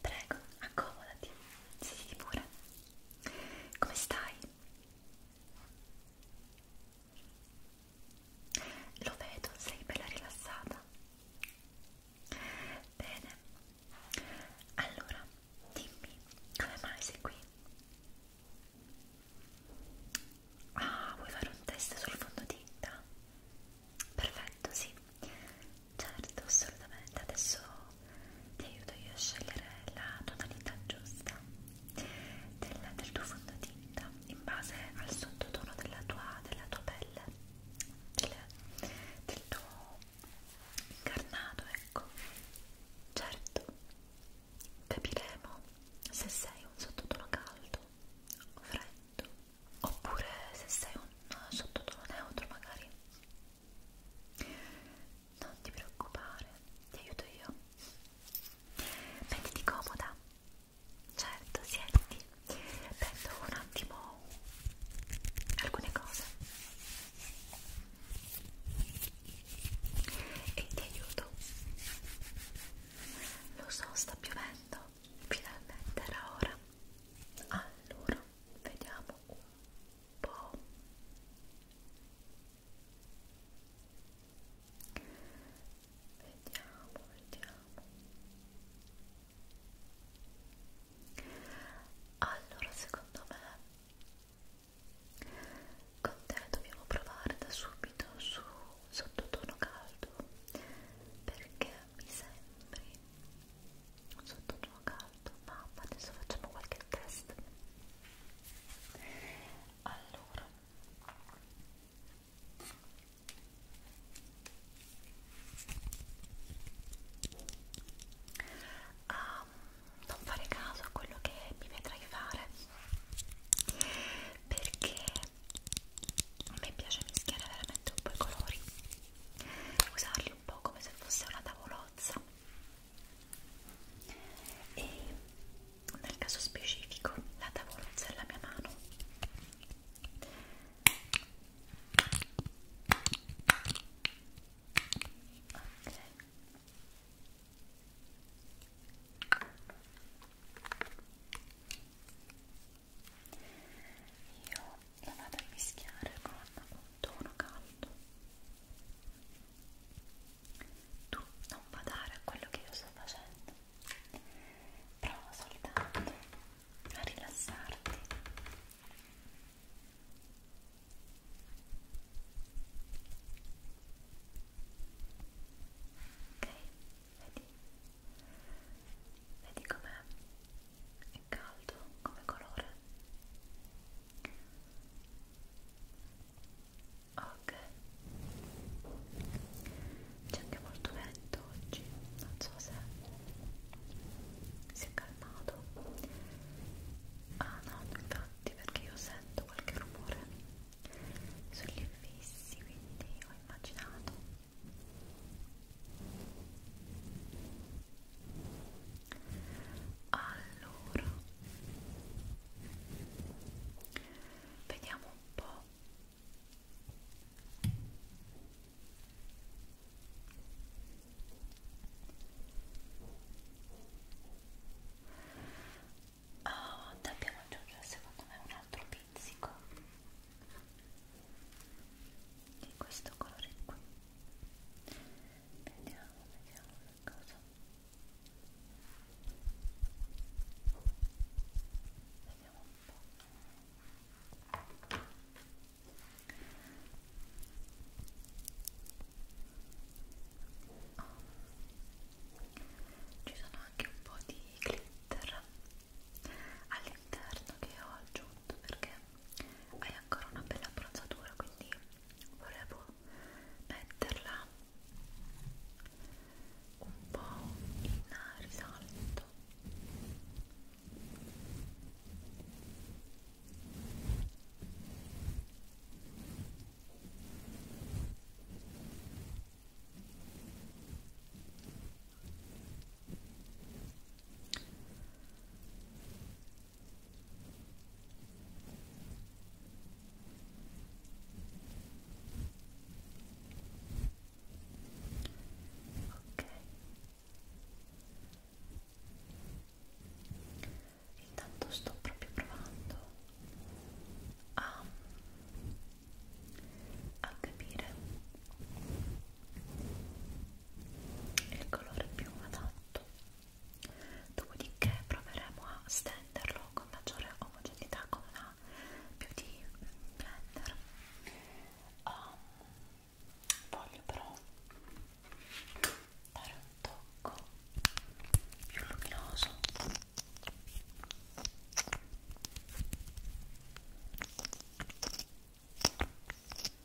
Prego, accomodati, siediti pure. Come stai? Lo vedo, sei bella rilassata. Bene, allora dimmi come mai sei qui? Ah, vuoi fare un test sul fondotinta? Perfetto, sì. Certo, assolutamente, adesso ti aiuto io a scegliere la tonalità giusta del, del tuo fondotinta in base al sottotono della tua, della tua pelle, del, del tuo incarnato, ecco. Certo, capiremo se sei un sottotono caldo o freddo, oppure se sei un sottotono neutro magari non ti preoccupare, ti aiuto io. Mettiti comoda. Certo, siediti. Prendo un attimo alcune cose. E ti aiuto. Lo so, sta piovendo. Finalmente era ora. Allora, vediamo un po' vediamo vediamo allora secondo me con te dobbiamo provare da subito su sottotono caldo perché mi sembri sottotono caldo mamma adesso facciamo qualche test allora um, non fare caso a quello che mi vedrai fare perché a me piace mischiare veramente un po' i colori usarli un po' come se fosse una tavola carrozza e nel caso specifico la tavolozza è la mia mano ok io la vado a mischiare con caldo, uno caldo tu non badare a quello che io sto facendo prova soltanto a rilassarti ok vedi vedi com'è è caldo come colore ok c'è anche molto vento oggi non so se si è calmato ah no infatti perché io sento qualche rumore sugli infissi quindi ho immaginato allora vediamo un po' Oh, ah, dobbiamo aggiungere secondo me un altro pizzico di questo colore qui vediamo vediamo che cosa vediamo un po' oh. ci sono anche un po' di glitter all'interno che ho aggiunto perché hai ancora una bella abbronzatura quindi volevo metterla un po' in risalto Ok. Intanto sto proprio provando a, a capire è il colore più adatto dopodiché proveremo a stenderlo con maggiore omogeneità con una beauty blender um, voglio però dare un tocco più luminoso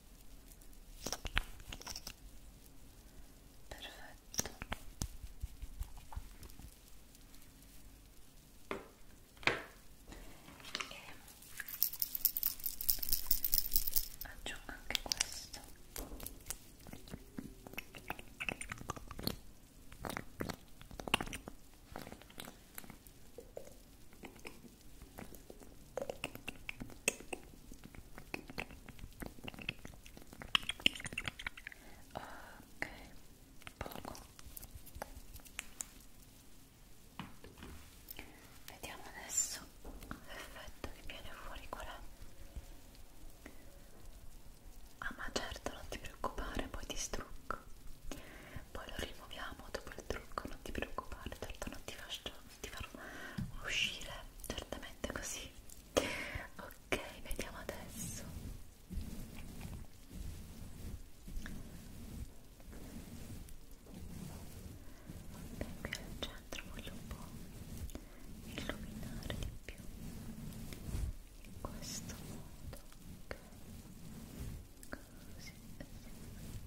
perfetto e aggiungo anche questo Ok, poco. Vediamo adesso l'effetto che viene fuori qual è. Ah ma certo, non ti preoccupare, poi ti strucco. Poi lo rimuoviamo dopo il trucco, non ti preoccupare, certo non ti faccio ti farò uscire certamente così ok vediamo adesso ok qui al centro voglio un po' illuminare di più in questo modo ok così sì.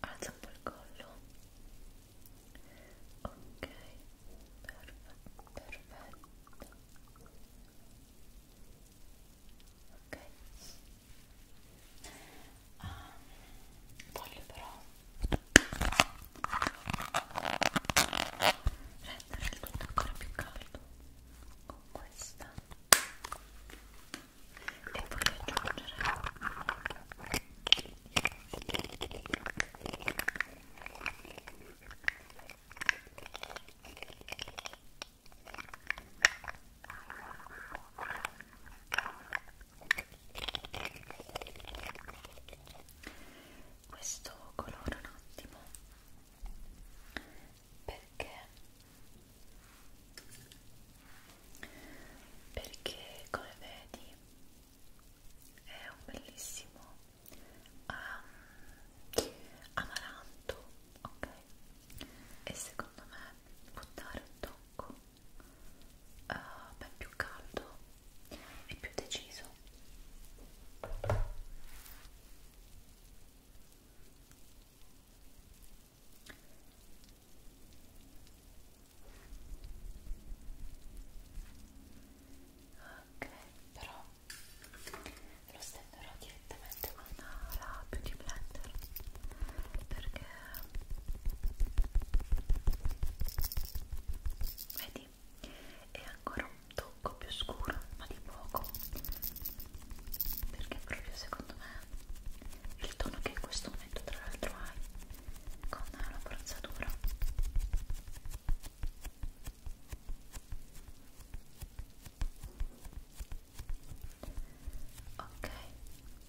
alza un po' il collo ok perfetto perfetto ok ah, voglio però rendere il tutto ancora più caldo con questa e voglio aggiungere questo colore un attimo perché perché come vedi è un bellissimo um, amaranto ok e secondo me può dare un tocco uh, ben più caldo e più deciso ok però lo stenderò direttamente con una rapido di blender perché vedi è ancora un tocco più scuro ma di poco perché proprio secondo me il tono che in questo momento tra l'altro hai con la forzatura ok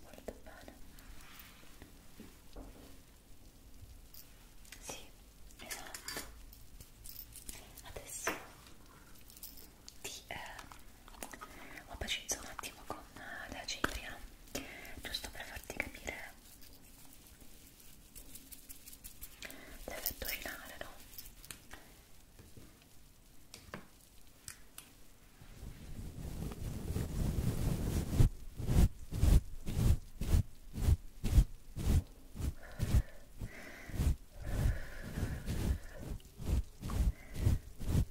Molto bene. Sì, esatto. Adesso ti eh, opacizzo un attimo con da Cipria giusto per farti capire l'effetto finale no?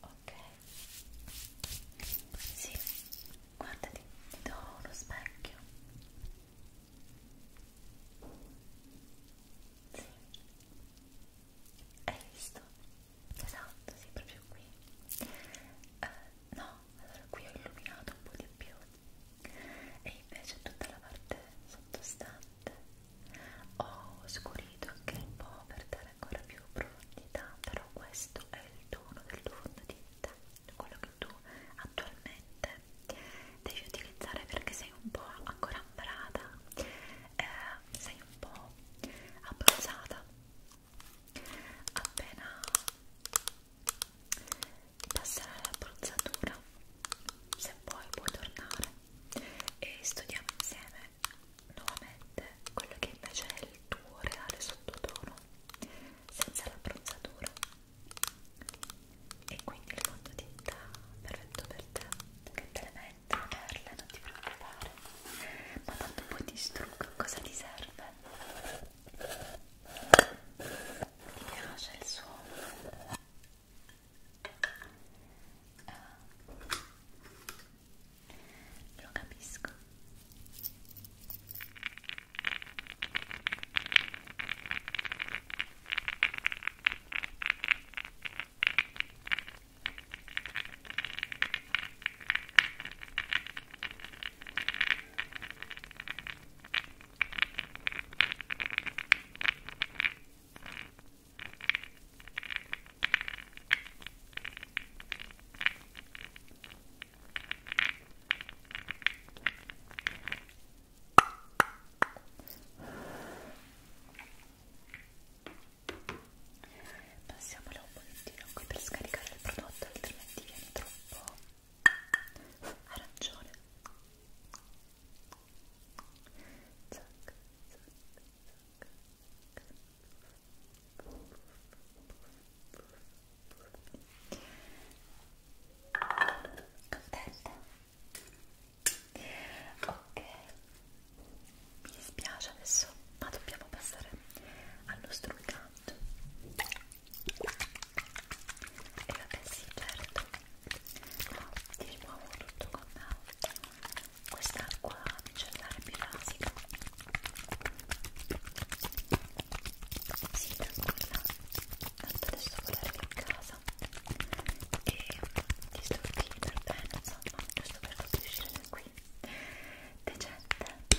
Ok. Sì, guardati, ti do uno specchio. Sì. Hai visto? Esatto, sì, proprio qui. Uh, no, allora qui ho illuminato un po' di più. E invece tutta la parte sottostante niente ho scurito anche un po' per dare ancora più profondità però questo è il tono del tuo fondotinta quello che tu attualmente devi utilizzare perché sei un po' ancora ambrata eh, sei un po' abruzzata appena passare la bruzzatura se vuoi puoi tornare e studiamo insieme nuovamente quello che invece è il tuo reale sottotono senza l'abbronzatura e quindi il fondotinta perfetto per te che te le metti, le perle, non ti preoccupare ma tanto poi ti strucco, cosa ti serve? mi piace il suono Uh, lo capisco Passiamolo un pochettino qui per scaricare il prodotto, altrimenti viene troppo arancione zac, zac, zac. Contenta? Ok, mi dispiace adesso, ma dobbiamo passare al nostro incanto. E vabbè sì, certo, ti rimuovo tutto con quest'acqua micellare pirasica si tranquilla tanto adesso volerò in casa e ti sto per bene insomma giusto per farti uscire da qui decente ok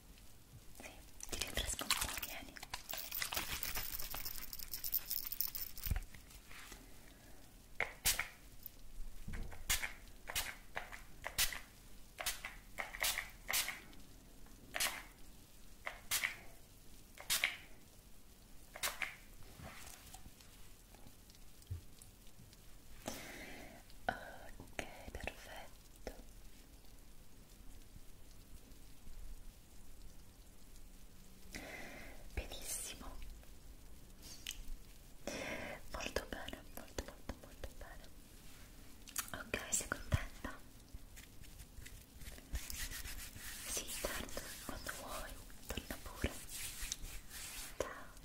Sì, ti rinfresco un po', vieni. Ok, perfetto. Benissimo. Molto bene, molto molto molto bene. Ok, sei contenta? Sì, certo, quando vuoi, torna pure. Ciao.